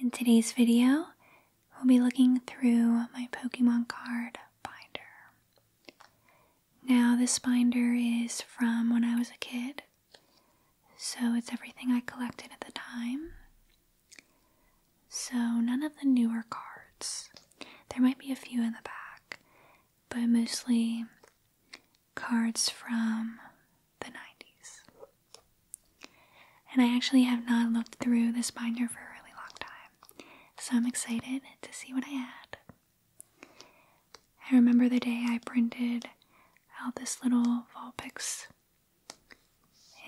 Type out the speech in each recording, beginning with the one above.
In today's video, we'll be looking through my Pokemon card binder. Now, this binder is from when I was a kid, so it's everything I collected at the time. So, none of the newer cards. There might be a few in the back, but mostly cards from the 90s. And I actually have not looked through this binder for a really long time, so I'm excited to see what I add. I remember the day I printed out this little Vulpix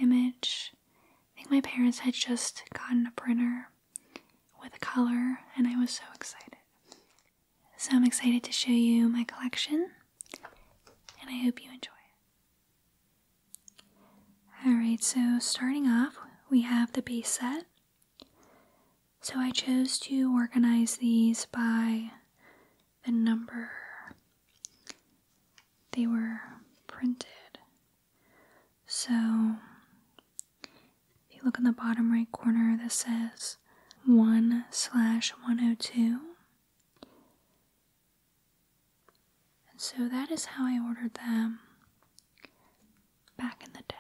image. I think my parents had just gotten a printer with a color, and I was so excited. So I'm excited to show you my collection and I hope you enjoy it. Alright, so starting off, we have the base set. So I chose to organize these by the number they were printed. So if you look in the bottom right corner, this says 1 slash 102. And so that is how I ordered them back in the day.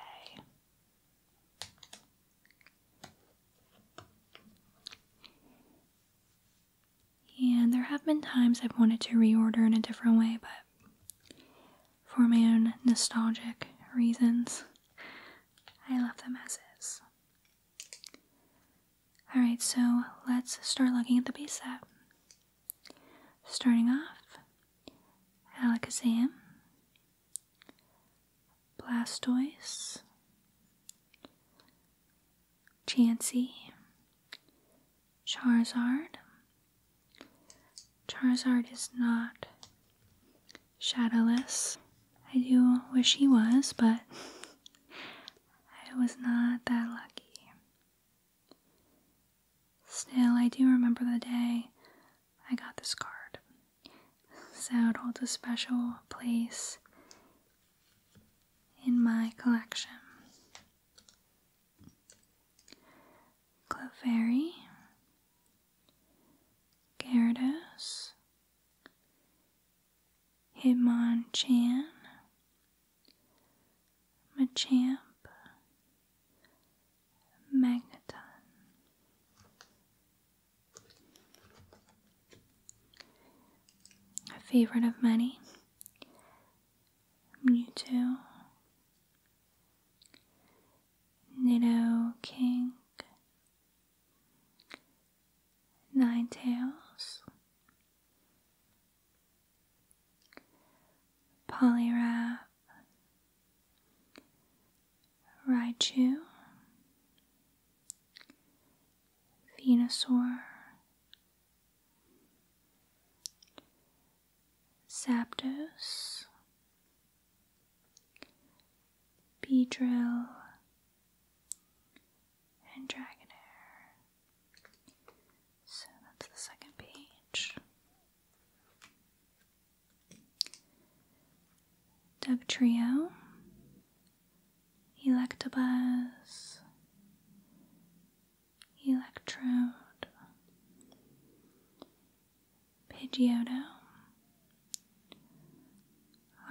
And there have been times I've wanted to reorder in a different way, but for my own nostalgic reasons, I love them as is. Alright, so let's start looking at the base set. Starting off, Alakazam, Blastoise, Chansey, Charizard. Charizard is not shadowless. I do wish he was, but I was not that lucky. Still, I do remember the day I got this card. So it holds a special place in my collection. Clefairy, Gyarados, Hitmonchan, Machamp, Magneton. A favorite of many, Mewtwo. Nido King, nine tails, Poliwrath, Raichu, Venusaur, Zapdos, Beedrill, and Dragonair. So that's the second page. Dugtrio, Electabuzz, Electrode, Pidgeotto,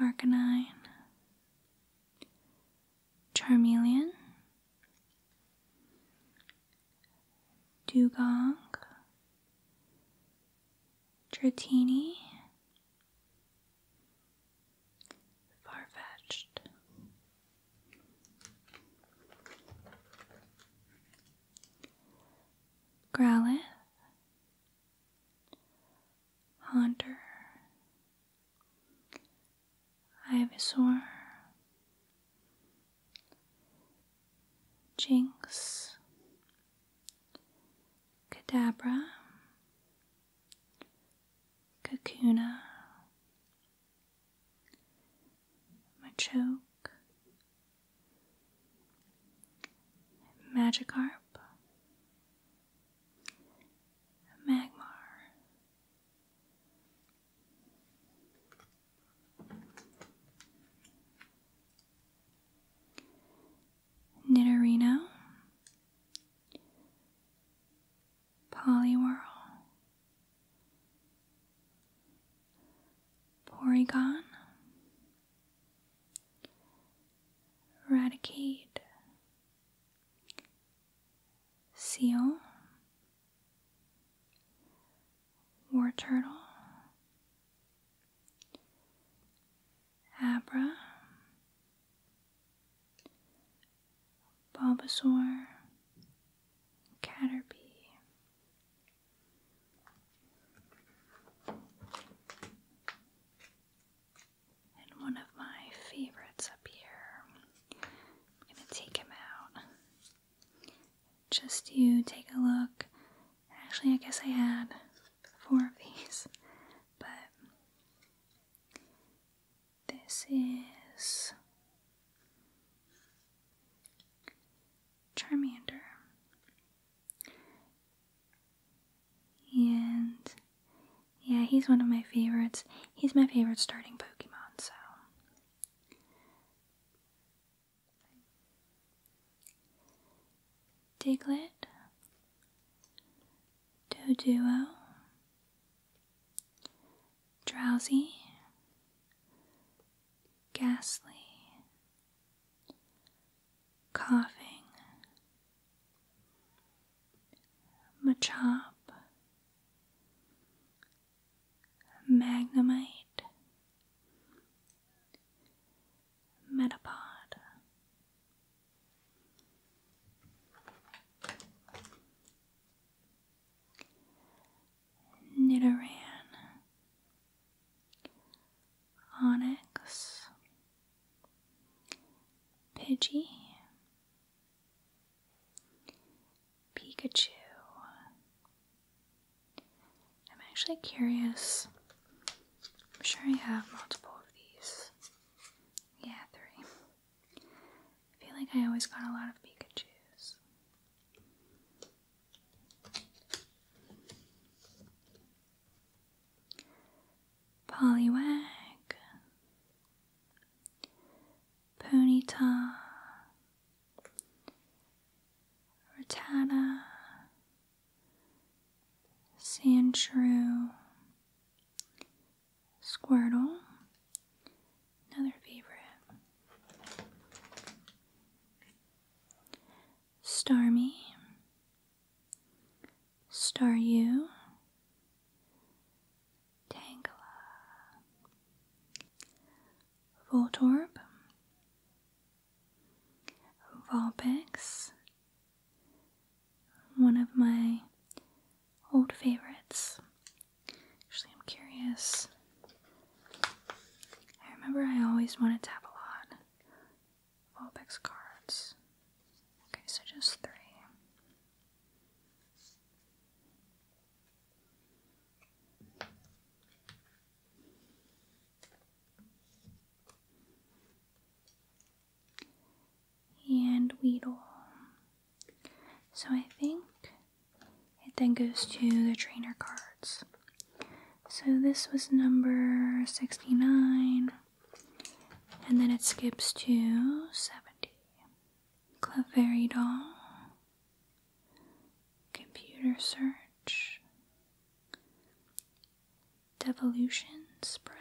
Arcanine, Charmeleon, Dugong, Dratini, Farfetched. Growlithe, Hunter, Ivysaur, Jinx, Kadabra, Kakuna, Machoke, Magikarp, Magmar. Nidorino, Poliwhirl, Porygon, Radicate Seal War Turtle Abra Bulbasaur Caterpie and one of my favorites up here. going to take him out. Just you take a look. Actually, I guess I had four of these, but this is Charmander. And yeah, he's one of my favorites. He's my favorite starting Pokemon, so. Diglett, Doduo, Drowsy, Ghastly, coughing, machop, magnemite, metapod. Nidoran Onyx, Pidgey, Pikachu. I'm actually curious. I'm sure I have multiple of these. Yeah, three. I feel like I always got a lot of Pikachus. Poliwag, Ponyta, Rattata, Sandshrew, Squirtle, another favorite star me, star you, Tangela, Voltorb, Vulpix, one of my old favorites. Actually, I'm curious. I remember I always wanted to have a lot. Vulpix cards. Okay, so just three. And Weedle. So I think it then goes to the trainer cards. So this was number 69, and then it skips to 70. Claveri doll, computer search, devolution spray.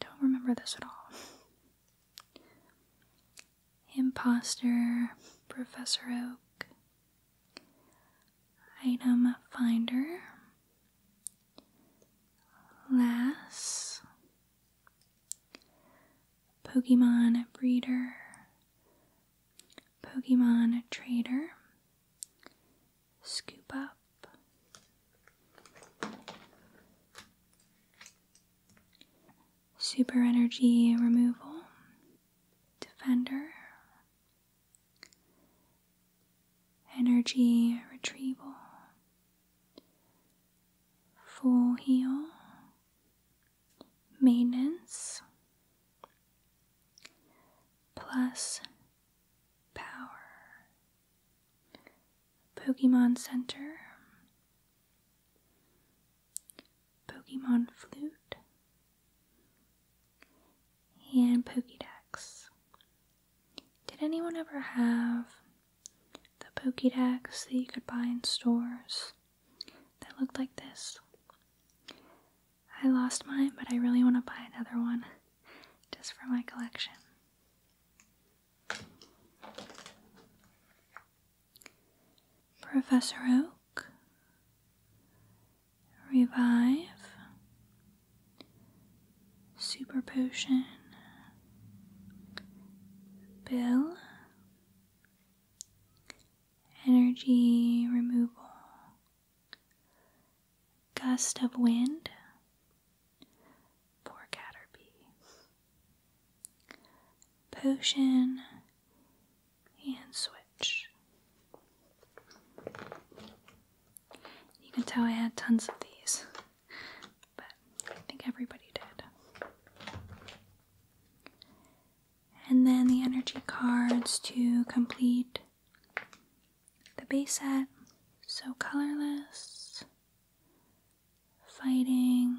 Don't remember this at all. Imposter, Professor Oak, item finder last Pokemon breeder Pokemon trader scoop up super energy removal defender, energy retrieval, full heal, maintenance, plus power, Pokemon Center, Pokemon Flute, and Pokedex. Did anyone ever have the Pokedex that you could buy in stores that looked like this? I lost mine, but I really want to buy another one just for my collection. Professor Oak, Revive, Super Potion, Bill, Energy Removal, Gust of Wind, Poor Caterpie, Potion, and switch. You can tell I had tons of these, but I think everybody did. And then the energy cards to complete the base set. So colorless, fighting,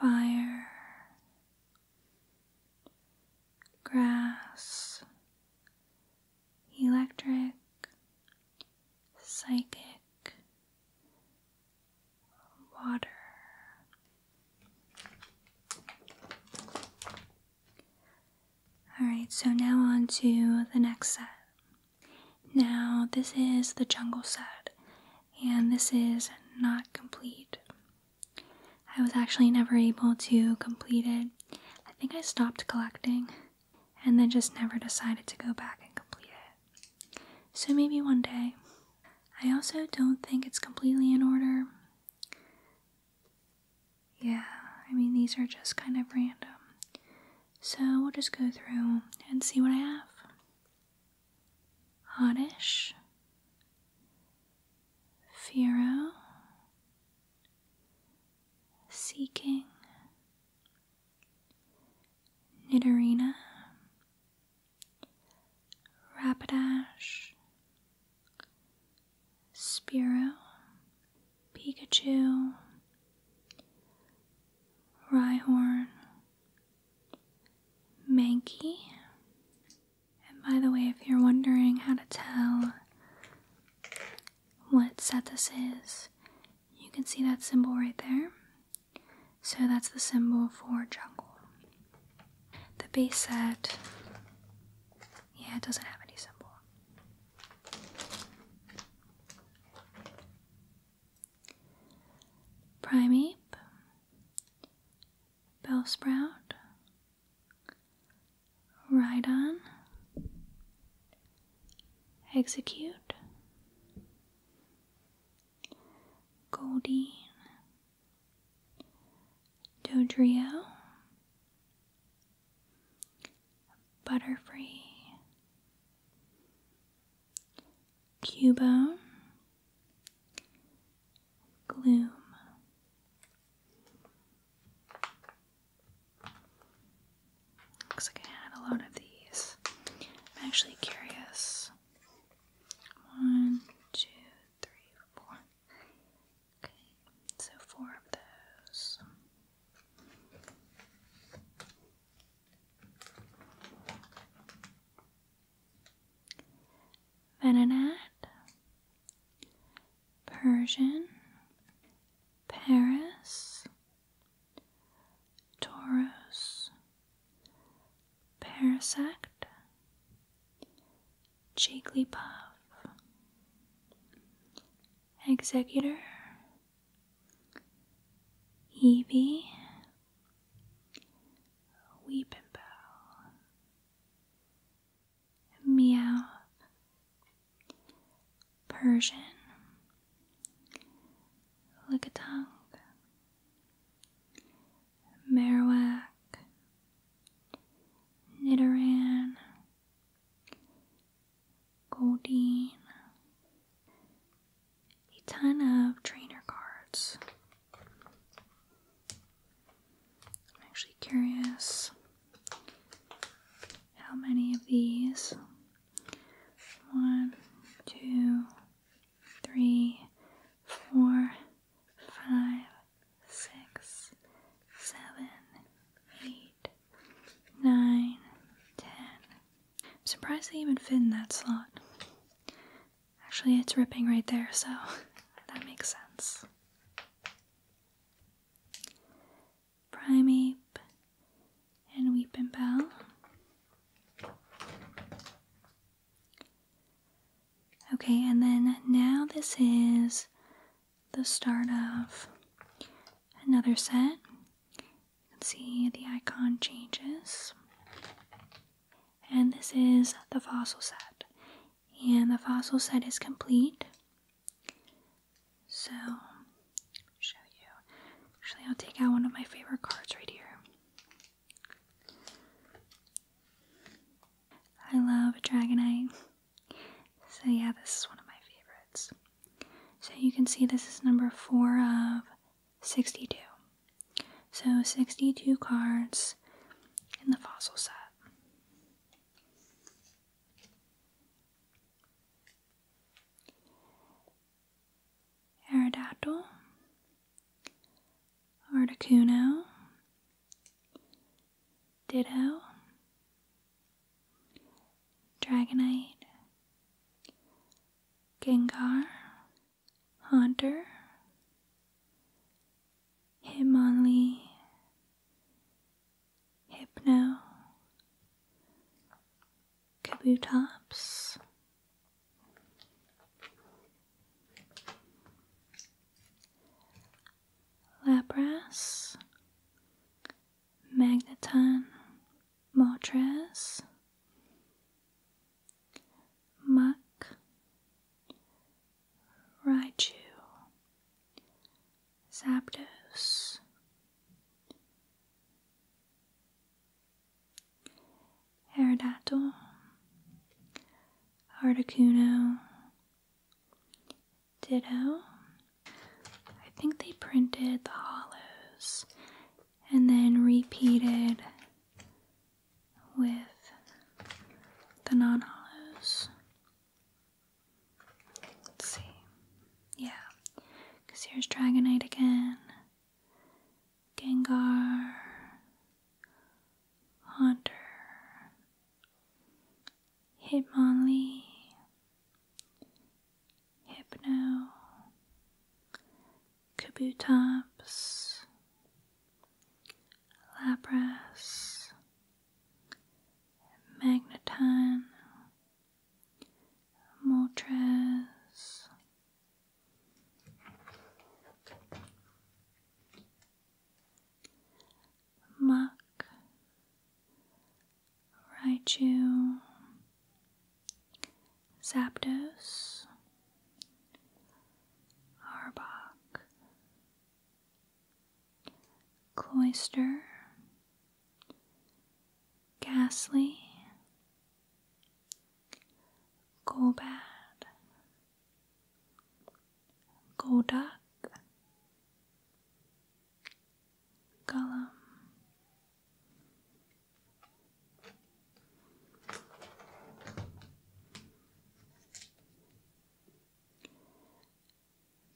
fire, grass, electric, psychic, water. Alright, so now on to the next set. Now, this is the jungle set, and this is not complete. I was actually never able to complete it. I think I stopped collecting and then just never decided to go back and complete it. So maybe one day. I also don't think it's completely in order. Yeah, I mean, these are just kind of random. So we'll just go through and see what I have. Oddish, Fero, Seeking, Nidorina, Rapidash, Spiro, Pikachu, Rhyhorn, Maggie. And by the way, if you're wondering how to tell what set this is, you can see that symbol right there. So that's the symbol for jungle. The base set, yeah, it doesn't have any symbol. Primeape, Bellsprout, Rhydon, Execute, Goldeen, Dodrio, Butterfree, Cubone, gloom. Looks like I had a lot of these. I'm actually curious. One, two, three, four. Okay, so four of those. Venonat, Persian, Paris, Taurus, Parasect, Jigglypuff, Executor, Evie, Weeping Bell, Meow, Persian, Lickitung, Marowak, Nidoran, Goldeen, a ton of trainer cards. I'm actually curious how many of these. One, two, three, four, five, six, seven, eight, nine, ten. I'm surprised they even fit in that slot. Actually, it's ripping right there, so that makes sense. Primeape and Weep and Bell. Okay, and then now this is the start of another set. You can see the icon changes and this is the fossil set. And the fossil set is complete. So, show you. Actually, I'll take out one of my favorite cards right here. I love Dragonite. So, yeah, this is one of my favorites. So, you can see this is number four of 62. So 62 cards in the fossil set. Aerodactyl, Articuno, Ditto, Dragonite, Gengar, Haunter, Hitmonlee, Hypno, Kabutops. Lapras, Magneton, Moltres, Muck, Raichu, Zapdos, Aerodactyl, Articuno, Ditto. I think they printed the hollows and then repeated with the non hollows. Let's see. Yeah, because here's Dragonite again, Gengar, Hunter, Hitmonlee, Hypno, Kabutops, Lapras, Magneton, Moltres. Muck, Raichu, Zapdos, Arbok, Cloister, Ghastly, Golbat, Golduck, Gollum,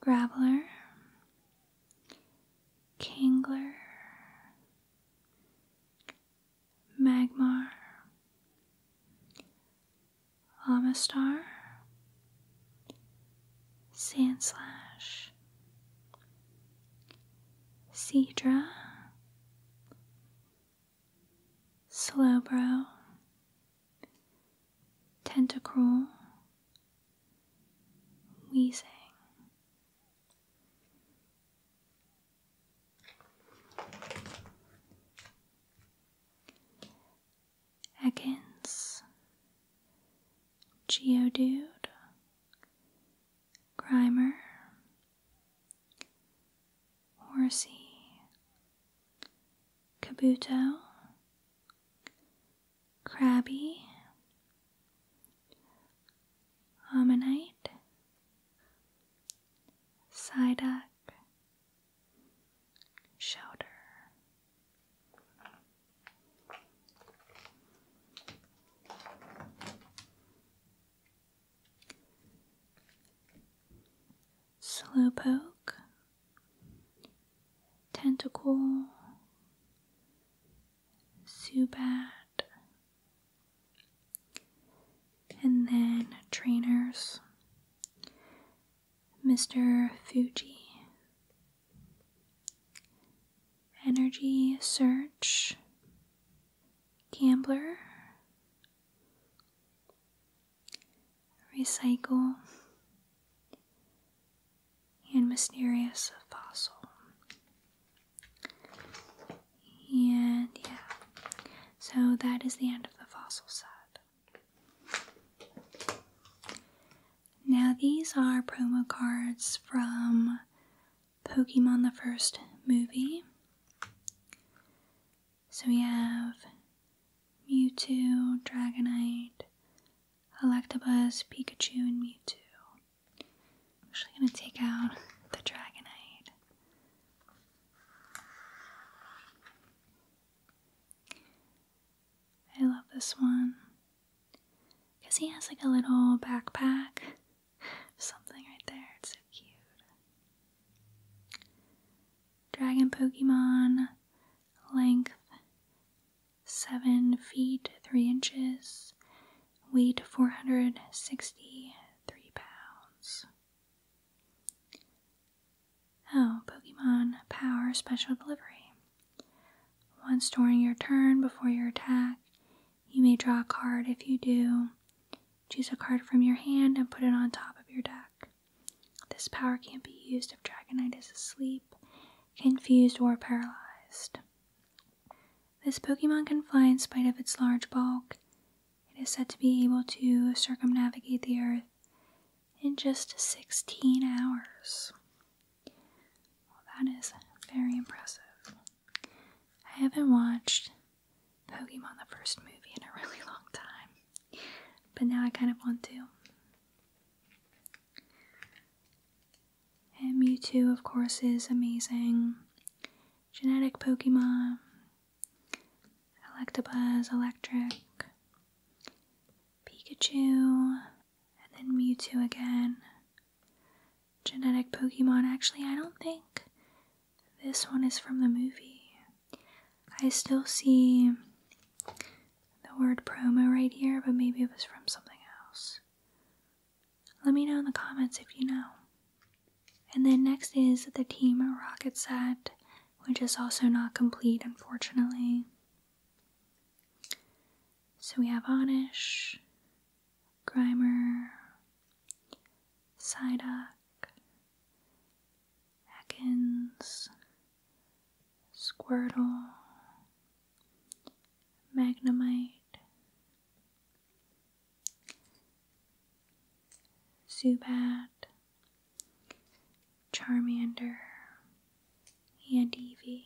Graveler, Kangler, Magmar, Amistar, Sandslash, Cedra, Slowbro, Tentacruel, Wheezing. Ekans, Geodude, Grimer, Horsey, Kabuto, Crabby, Ammonite, Psyduck, Shouter. Slowpoke, Tentacle, Zubat, and then trainers, Mr. Fuji. Energy Search, gambler, recycle, and mysterious fossil. And yeah, so that is the end of the fossil set. Now, these are promo cards from Pokemon the first movie. So we have Mewtwo, Dragonite, Electabuzz, Pikachu, and Mewtwo. I'm actually going to take out the Dragonite. I love this one because he has like a little backpack something right there. It's so cute. Dragon Pokemon, length 7 feet 3 inches, weight 463 pounds. Oh, Pokemon Power Special Delivery. Once during your turn before your attack, you may draw a card if you do. Choose a card from your hand and put it on top of your deck. This power can't be used if Dragonite is asleep, confused, or paralyzed. This Pokemon can fly in spite of its large bulk. It is said to be able to circumnavigate the Earth in just 16 hours. that is very impressive. I haven't watched Pokemon the first movie in a really long time, but now I kind of want to. And Mewtwo, of course, is amazing. Genetic Pokemon, Electabuzz, Electric, Pikachu, and then Mewtwo again genetic Pokemon. Actually, I don't think this one is from the movie. I still see the word promo right here, but maybe it was from something else. Let me know in the comments if you know. And then next is the Team Rocket set, which is also not complete, unfortunately. So we have Onish, Grimer, Psyduck, Ekans, Squirtle, Magnemite, Zubat, Charmander, and Eevee.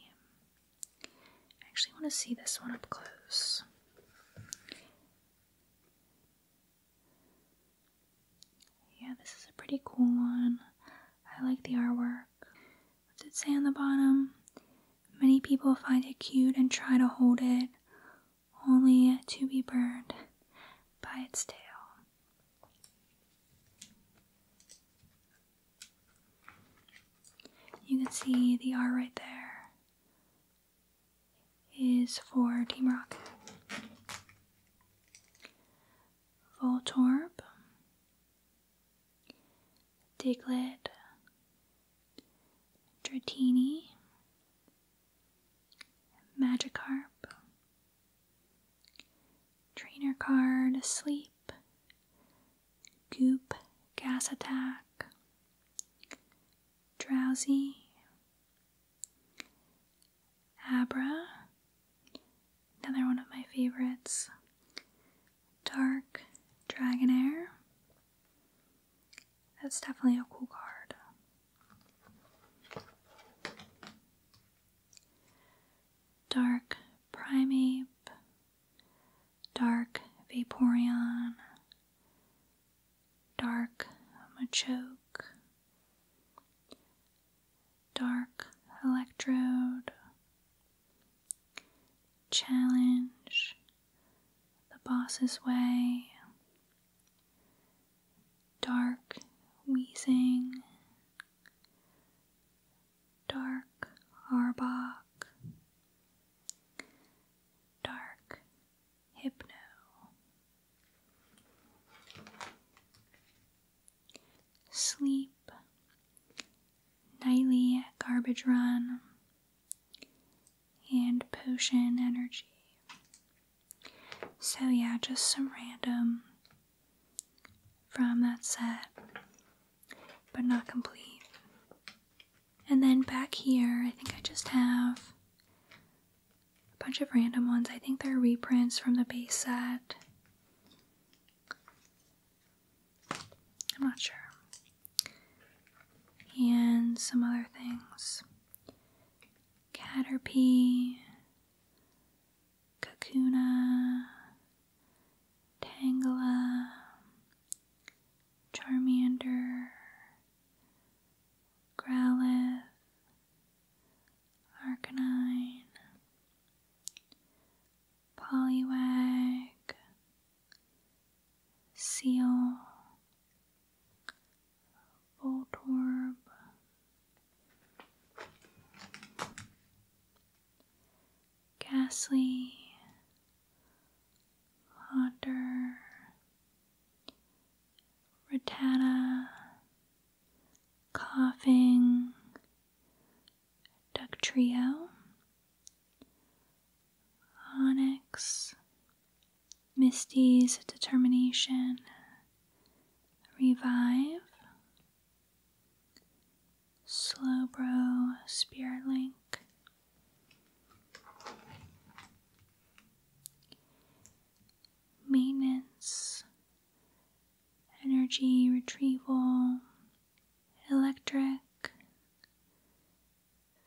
I actually want to see this one up close. Yeah, this is a pretty cool one. I like the artwork. What does it say on the bottom? Many people find it cute and try to hold it, only to be burned by its tail. You can see the R right there is for Team Rocket. Voltorb, Diglett, Dratini, Magikarp, Trainer Card, Sleep, goop gas attack, drowsy, abra, another one of my favorites, dark dragonair. That's definitely a cool card. Dark Primeape, Dark Vaporeon, Dark Machoke, Dark Electrode, Challenge, The Boss's Way, Dark Wheezing, dark Arbok, dark Hypno. Sleep, nightly garbage run, and potion energy. So, yeah, just some random from that set but not complete. And then back here, I think I just have a bunch of random ones. I think they're reprints from the base set. I'm not sure. And some other things. Caterpie, Kakuna, Tangela, Charmander, Growlithe, Arcanine, Poliwag, Seal, Voltorb, Ghastly, otter, ratata, coughing, duck trio, onyx, misty's determination, revive, Slow Slowbro Spearlink, Maintenance, Energy Retrieval, Electric,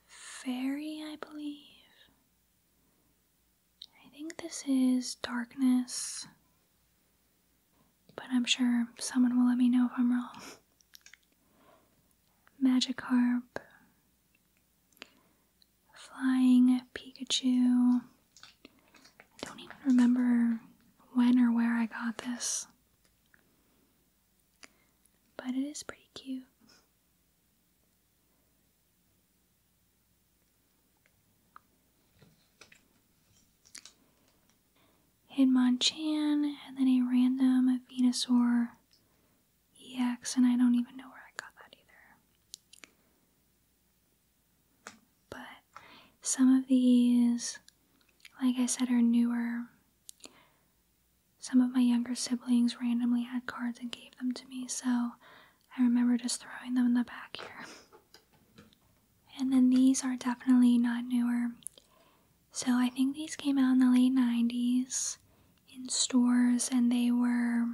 Fairy, I believe. I think this is Darkness. But I'm sure someone will let me know if I'm wrong. Magic harp, Flying Pikachu. I don't even remember when or where I got this, but it is pretty cute. Hitmonchan, and then a random Venusaur EX, and I don't even know where I got that either. But some of these, like I said, are newer. Some of my younger siblings randomly had cards and gave them to me, so I remember just throwing them in the back here. And then these are definitely not newer. So I think these came out in the late 90s in stores and they were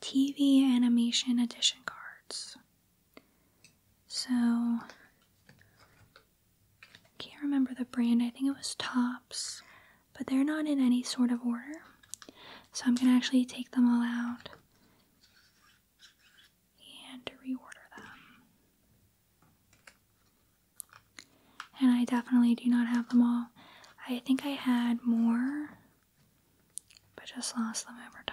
TV animation edition cards. So can't remember the brand. I think it was Tops, but they're not in any sort of order. So I'm going to actually take them all out and reorder them. And I definitely do not have them all. I think I had more, but just lost them over time.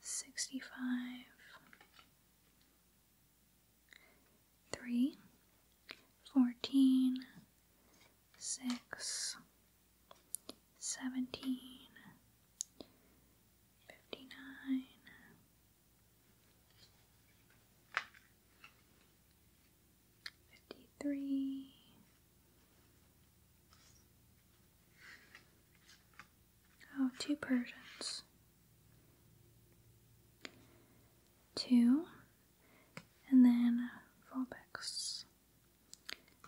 65 3 14 17 53 Oh, two Persians. Two. And then fullbacks.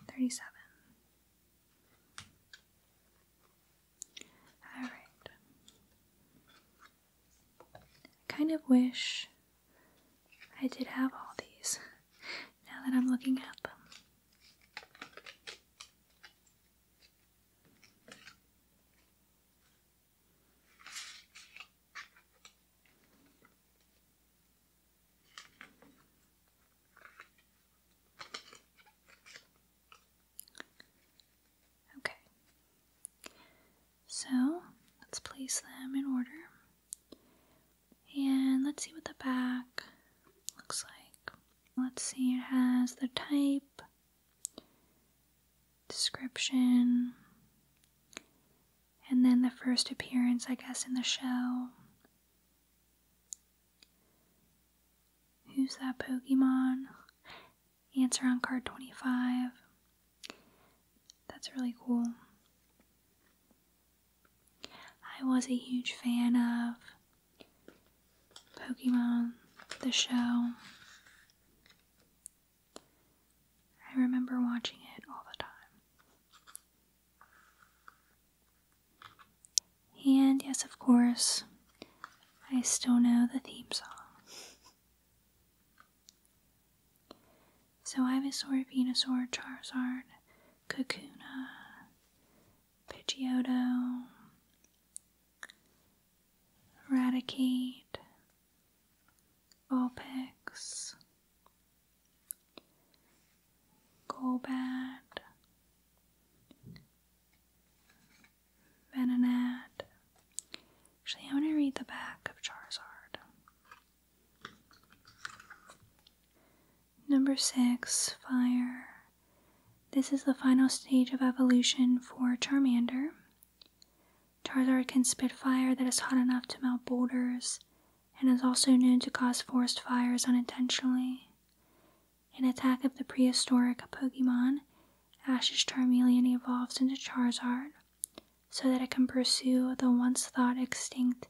37. Alright. I kind of wish I did have all these now that I'm looking at them. Okay, so let's place them in order and let's see what the back looks like. Let's see, it has the type, description, and then the first appearance, I guess, in the show. Who's that Pokemon? Answer on card 25. That's really cool. I was a huge fan of Pokemon, the show. I remember watching it all the time. And yes, of course, I still know the theme song. So Ivysaur, Venusaur, Charizard, Kakuna, Pidgeotto, eradicate, Vulpix, Golbat, Venonat. Actually, I'm going to read the back of Charizard. Number six, fire. This is the final stage of evolution for Charmander. Charizard can spit fire that is hot enough to melt boulders and is also known to cause forest fires unintentionally. An attack of the prehistoric Pokemon, Ash's Charmeleon evolves into Charizard so that it can pursue the once thought extinct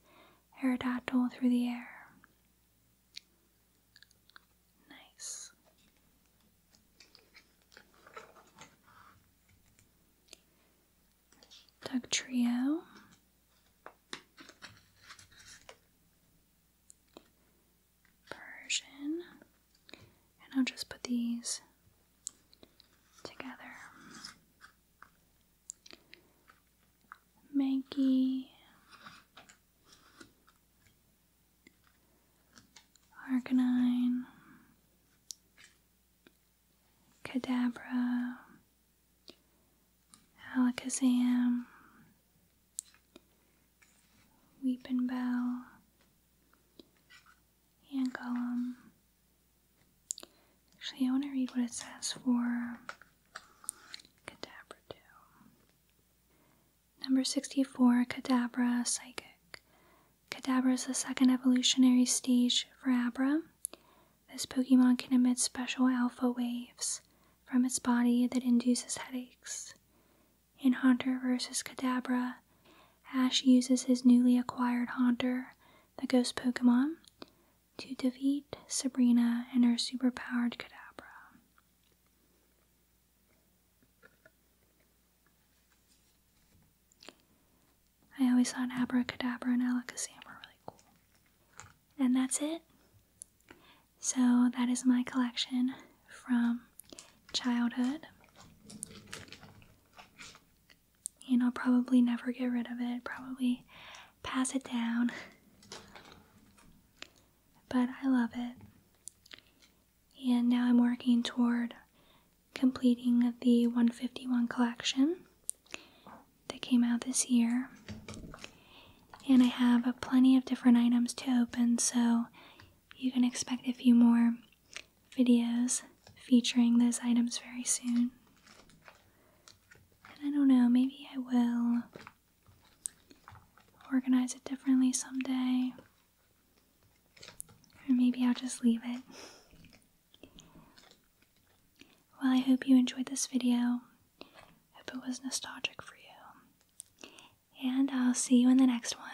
Aerodactyl through the air. Nice. Duck Trio. Persian. And I'll just put these together. Maggie Arcanine Cadabra Alakazam Weepin' and Gollum. Actually I want to read what it says for Cadabra 2. Number 64, Cadabra Psychic. Cadabra is the second evolutionary stage for Abra. This Pokemon can emit special alpha waves from its body that induces headaches. In Haunter versus Cadabra, Ash uses his newly acquired Haunter, the ghost Pokemon, to defeat Sabrina and her superpowered Cadabra. I always thought Abracadabra and Alakazam were really cool. And that's it. So that is my collection from childhood. And I'll probably never get rid of it. Probably pass it down. But I love it. And now I'm working toward completing the 151 collection that came out this year. And I have uh, plenty of different items to open, so you can expect a few more videos featuring those items very soon. And I don't know, maybe I will organize it differently someday. Or maybe I'll just leave it. Well, I hope you enjoyed this video. Hope it was nostalgic for you. And I'll see you in the next one.